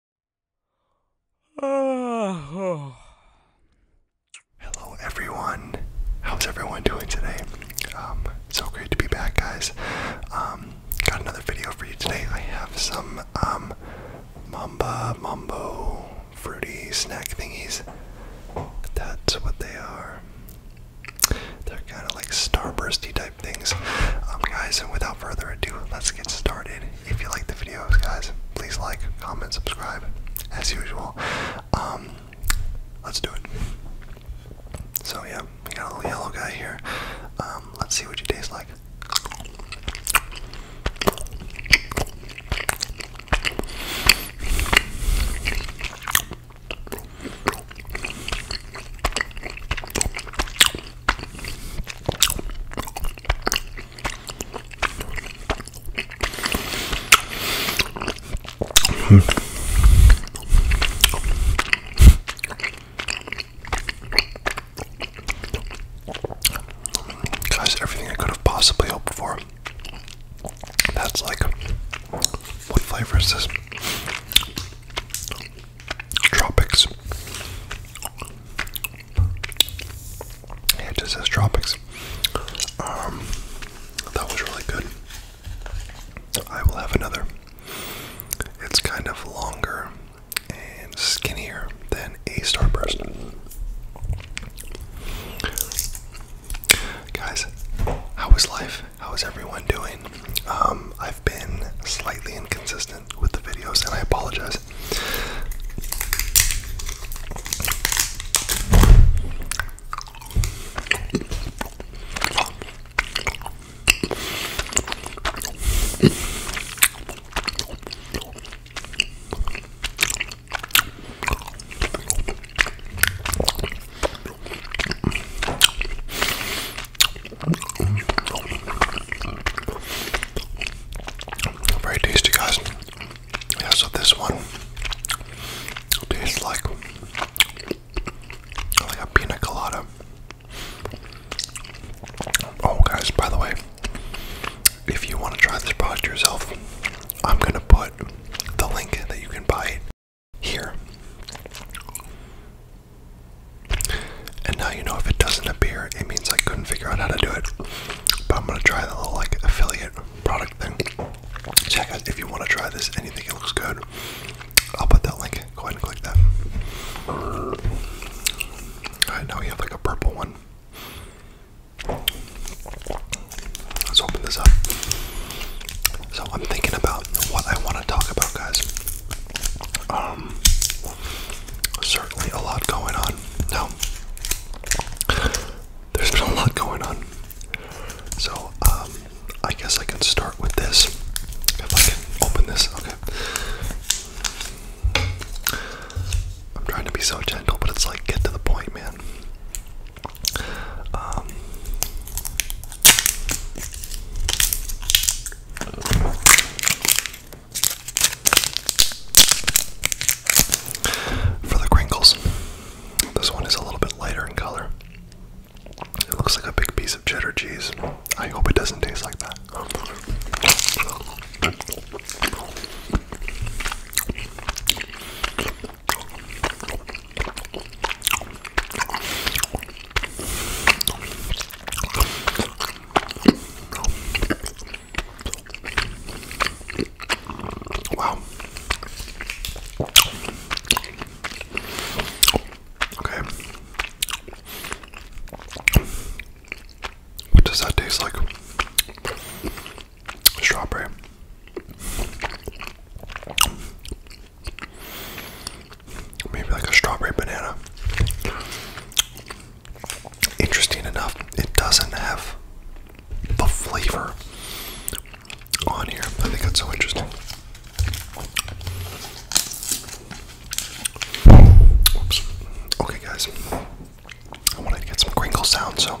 Hello, everyone. How's everyone doing today? Um, so great to be back, guys. Um, got another video for you today. I have some um, mamba mambo fruity snack thingies. That's what they are. They're kind of like starbursty type things, um, guys. And without further ado, let's get started if you like the videos, guys, please like, comment, subscribe, as usual. Um, let's do it. So yeah, we got a little yellow guy here. Um, let's see what you taste like. Hmm. Guys, everything I could have possibly hoped for. That's like, what flavor is this? Tropics it just says tropics. Um, that was really good. I will have another. It's kind of longer and skinnier than a starburst. Guys, how is life? How is everyone doing? Um, I've been slightly inconsistent with the videos, and I apologize. Very tasty, guys. Yeah, so this one tastes like like a pina colada. Oh, guys! By the way, if you want to try this product yourself, I'm gonna put the link that you can buy it here. And now you know if it doesn't appear, it means I couldn't figure out how to do it. But I'm gonna try the little like affiliate product thing. Check out if you want to try this anything it looks good. I'll put that link. Go ahead and click that. Alright, now we have like a purple one. Let's open this up. So I'm thinking about what I want to talk about, guys. Um, certainly a lot going on. No, there's been a lot going on. So, um, I guess I can start with this. If I can open this, okay. I'm trying to be so gentle, but it's like get to the point, man. Um, for the crinkles, this one is a little bit lighter in color. It looks like a big piece of cheddar cheese. I hope it doesn't taste like that. Wow. Okay. What does that taste like? Strawberry. Maybe like a strawberry banana interesting enough, it doesn't have the flavor on here. I think that's so interesting. Oops. Okay, guys. I wanted to get some crinkle sound, so.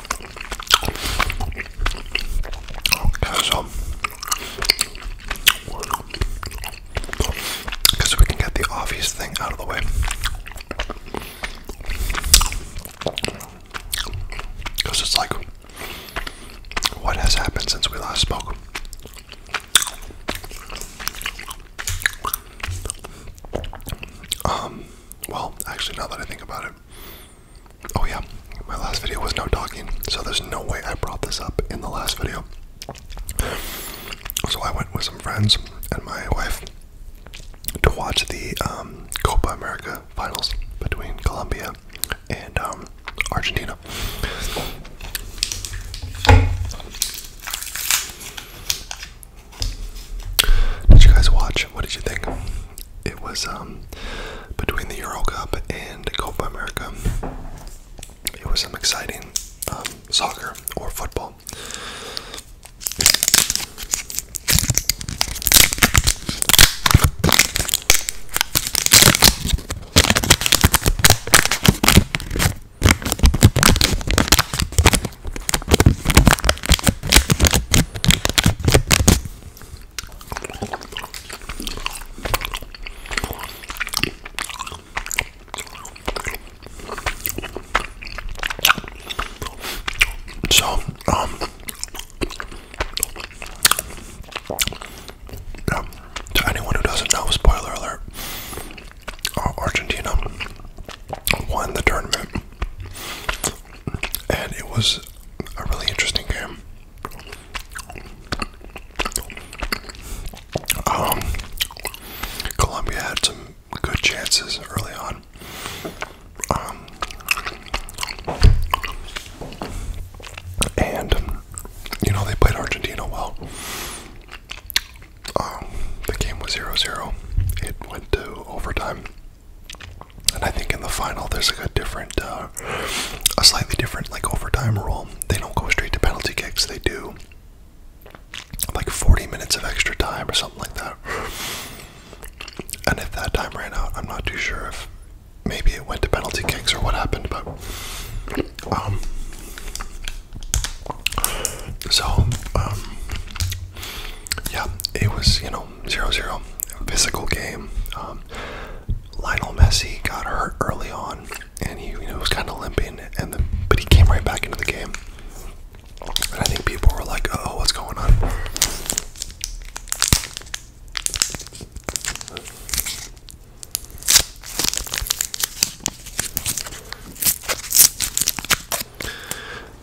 Okay, so, um, because we can get the obvious thing out of the way. Because it's like, what has happened since we last spoke? Um, well, actually, now that I think about it, Oh, yeah, my last video was no talking, so there's no way I brought this up in the last video. So I went with some friends and my wife to watch the um, Copa America finals between Colombia and um, Argentina. Did you guys watch? What did you think? It was um, between the Euro Cup and Copa America. It was some exciting um, soccer or football. So, um, yeah, to anyone who doesn't know, spoiler alert, uh, Argentina won the tournament, and it was a really interesting game. Um, Colombia had some good chances early on. Um, and, you know, they played Argentina well. Um, the game was 0 0. It went to overtime. And I think in the final, there's like a different, uh, a slightly different like overtime rule. They don't go straight to penalty kicks. They do like 40 minutes of extra time or something like that. And if that time ran out, I'm not too sure if maybe it went to penalty kicks or what happened. But um, so um, yeah, it was you know zero zero physical game. Um, Lionel Messi got hurt early on, and he you know, was kind of limping, and but he came right back into the game. And I think people were like, "Oh, what's going on?"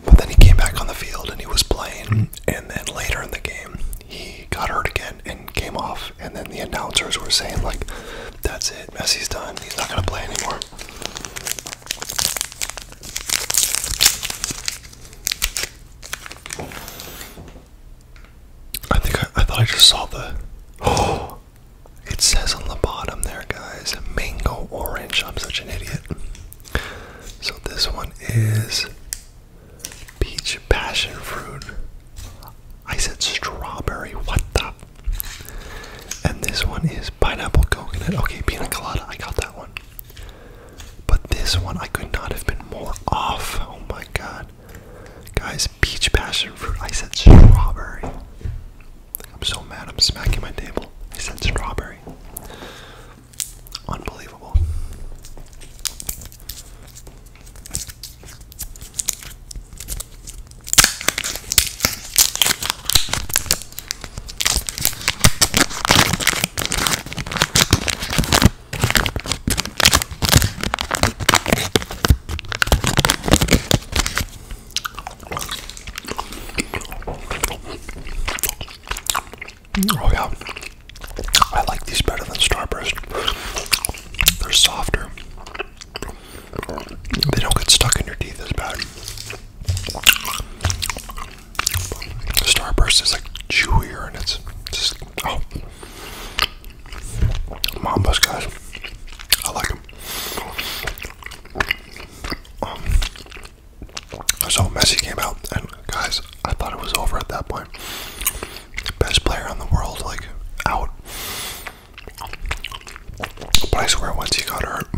But then he came back on the field and he was playing. And then later in the game, he got hurt again and came off, and then the announcers were saying like, "That's it, Messi's done. He's not gonna play anymore." I think I, thought I just saw the. it says on the bottom there, guys, mango orange. I'm such an idiot. So this one is Peach passion fruit. I said strawberry. What the? And this one is pineapple coconut. Okay, pina colada. I got that one. But this one, I could not have been more off. Oh my god. Guys, peach passion fruit. I said strawberry. I'm so mad. I'm smacking my table. I said strawberry. Unbelievable. Oh yeah, I like these better than Starburst. They're softer. They don't get stuck in your teeth as bad. Starburst is like chewier and it's just oh. Mambas, guys, I like them. Um, so Messi came out and Guys, I thought it was over at that point. Best player in the world, like, out. But I swear, once he got hurt,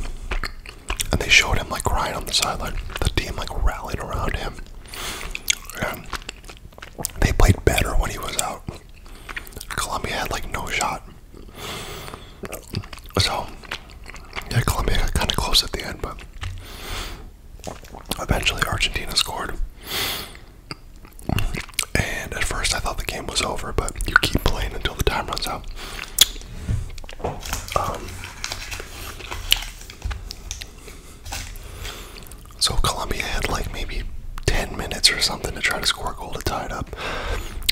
and they showed him, like, crying on the sideline, the team, like, rallied around him. And they played better when he was out. Columbia had, like, no shot. So, yeah, Columbia got kind of close at the end, but Eventually, Argentina scored. And at first, I thought the game was over, but you keep playing until the time runs out. Um, so, Colombia had like maybe 10 minutes or something to try to score a goal to tie it up.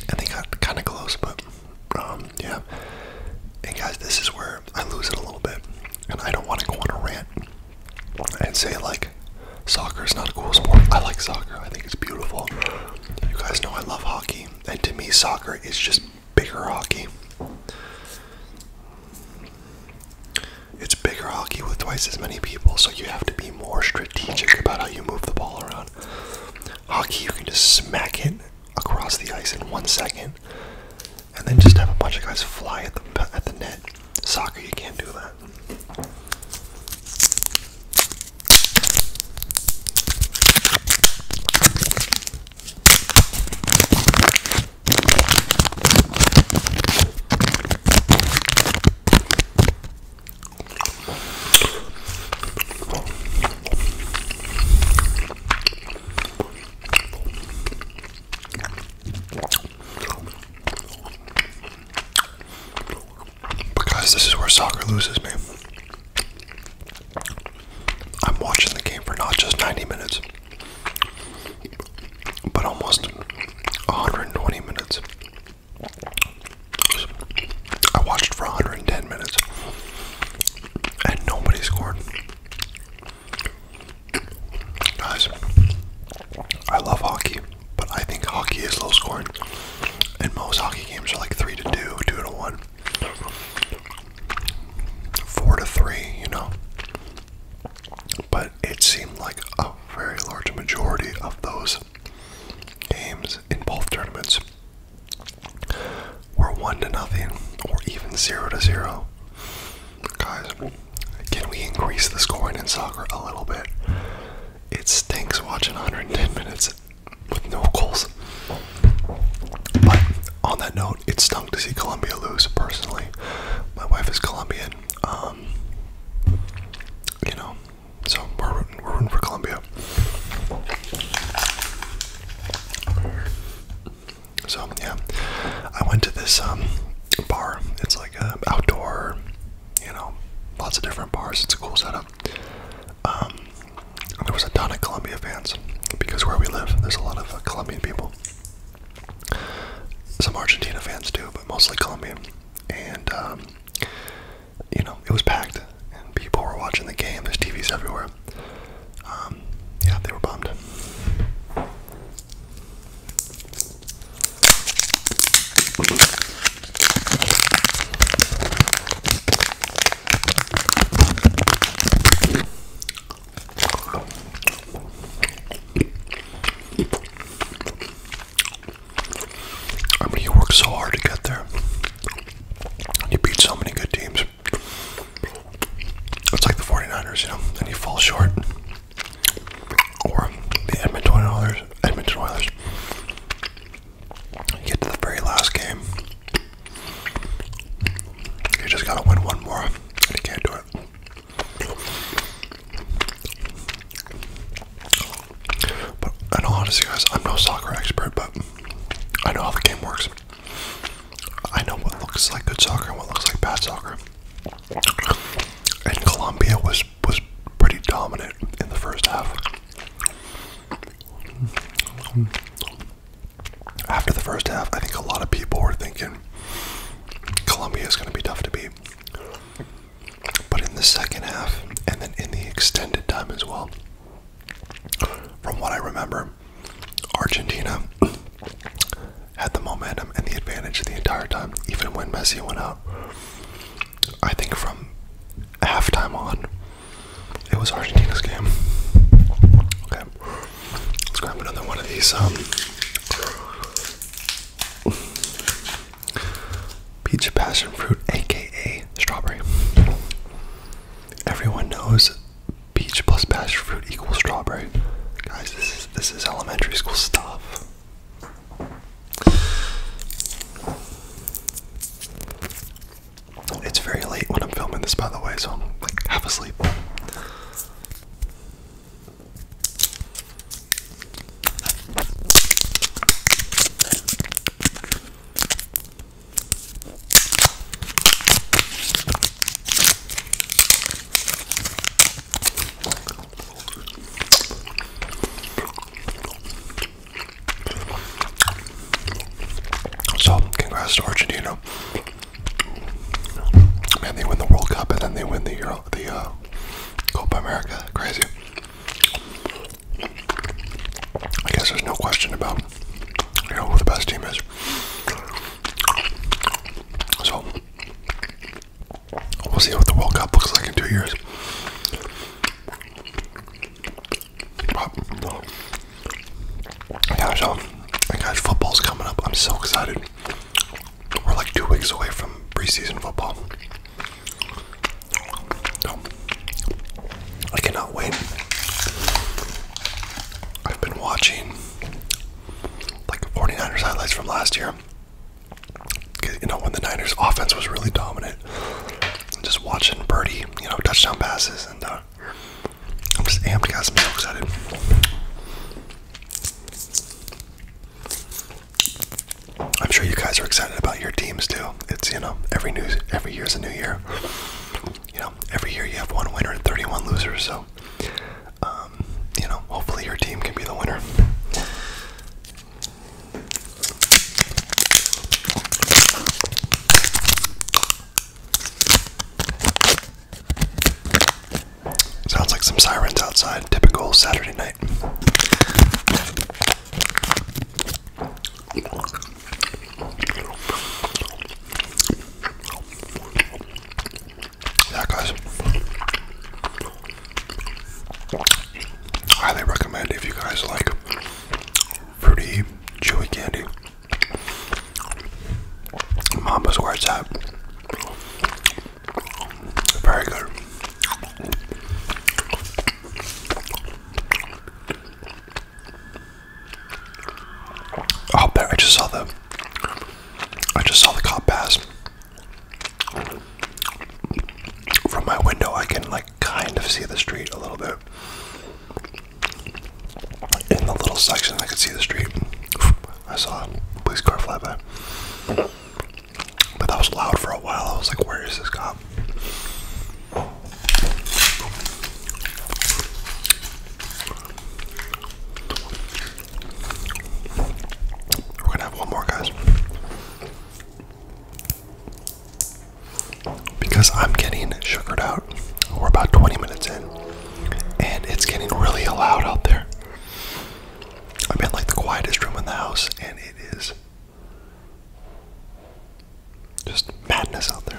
And they got kind of close, but um, yeah. And guys, this is where I lose it a little bit. And I don't want to go on a rant and say like soccer is not a cool sport. I like soccer. I think it's beautiful. You guys know I love hockey, and to me soccer is just bigger hockey. It's bigger hockey with twice as many people, so you have to be more strategic about how you move the ball around. Hockey, you can just smack it across the ice in one second and then just have a bunch of guys fly at the at the net. Soccer, you can't do that. Because this is where soccer loses me. I'm watching the game for not just 90 minutes, but almost 120 minutes. I watched for 110 minutes, and nobody scored. Guys, I love hockey, but I think hockey is low scoring. And most hockey games are like 3 to 2, 2 to 1, 4 to 3, you know. But it seemed like a very large majority of those games in both tournaments were 1 to nothing or even 0 to 0. Guys, can we increase the scoring in soccer a little bit? It stinks watching 110 minutes with no goals. But on that note, it stunk to see Colombia lose, personally. My wife is Colombian. Um, you know, so we're rooting, for Colombia. So yeah, I went to this um, bar. It's like. Uh, outdoor, you know, lots of different bars. It's a cool setup. Um, there was a ton of Colombia fans because where we live, there's a lot of uh, Colombian people. Some Argentina fans too, but mostly Colombian. And um, you know, it was packed, and people were watching the game. There's TVs everywhere. Um, yeah, they were bummed. I mean, you work so hard to get there. You beat so many good teams. It's like the 49ers, you know, and you fall short or the Edmonton Oilers. Edmonton Oilers. You get to the very last game. You just gotta win one more, and you can't do it. But in all honesty, guys, I'm no soccer expert, but I know how the game works. I know what looks like good soccer and what looks like bad soccer and Colombia was was pretty dominant in the first half. After the first half, I think a lot of people were thinking Colombia is going to be tough to beat. But in the second half, and then in the extended time as well, from what I remember, Argentina had the momentum and the advantage the entire time, even when Messi went out. I think from halftime on, it was Argentina's game. Okay, let's grab another one of these um, peach passion fruit, aka strawberry. Everyone knows peach plus passion fruit equals strawberry. Guys, this is this is elementary school stuff. It's very late when I'm filming this, by the way, so I'm like half asleep. So, congrats to Argentina. Man, they win the World Cup and then they win the Euro, the uh, Copa America. Crazy. I guess there's no question about you know who the best team is. So, We'll see what the World Cup looks like in two years. gosh, uh, gosh, football's coming up. I'm so excited. We're like two weeks away from preseason football. I cannot wait. I've been watching like 49ers highlights from last year you know, when the Niners' offense was really dominant, just watching Birdie, you know, touchdown passes, and uh, I'm just amped, guys. I'm so excited. I'm sure you guys are excited about your teams too. It's you know every new every year is a new year. You know every year you have one winner and 31 losers. So um, you know, hopefully your team can be the winner. Sounds like some sirens outside, typical Saturday night yeah, guys. Highly recommend if you guys like fruity, chewy candy. Mama's where it's Very good. Oh, there! I just saw the. I just saw the cop pass. From my window, I can like kind of see the street a little bit. In the little section, I could see the street. I saw a police car fly by. But that was loud for a while. I was like, where is this cop? We're gonna have one more, guys. Because I'm getting sugared out. We're about 20 minutes in, and it's getting really loud out there. I'm in like the quietest room in the house, and it is just madness out there.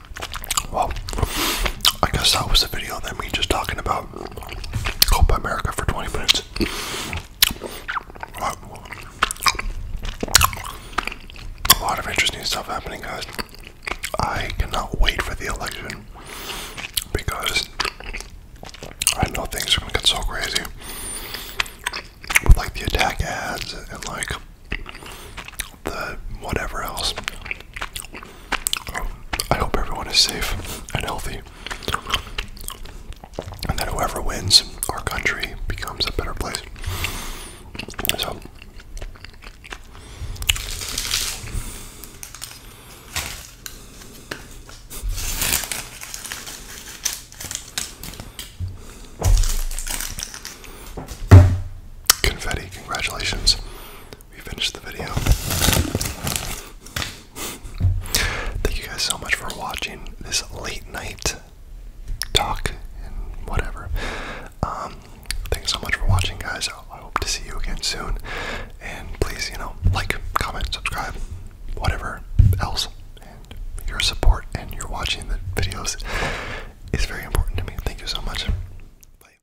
Well, I guess that was the video. that we just talking about Copa America for 20 minutes. A lot of interesting stuff happening, guys. I cannot wait for the election because I know things are gonna get so crazy with like the attack ads and like the whatever else. I hope everyone is safe and healthy. And that whoever wins, our country becomes a better place. So, confetti, congratulations we finished the video. Thank you guys so much for watching this late night talk and whatever. Um, thanks so much for watching, guys. I hope to see you again soon. And please, you know, like, comment, subscribe, whatever else. your support and your watching the videos is very important to me. Thank you so much. Bye.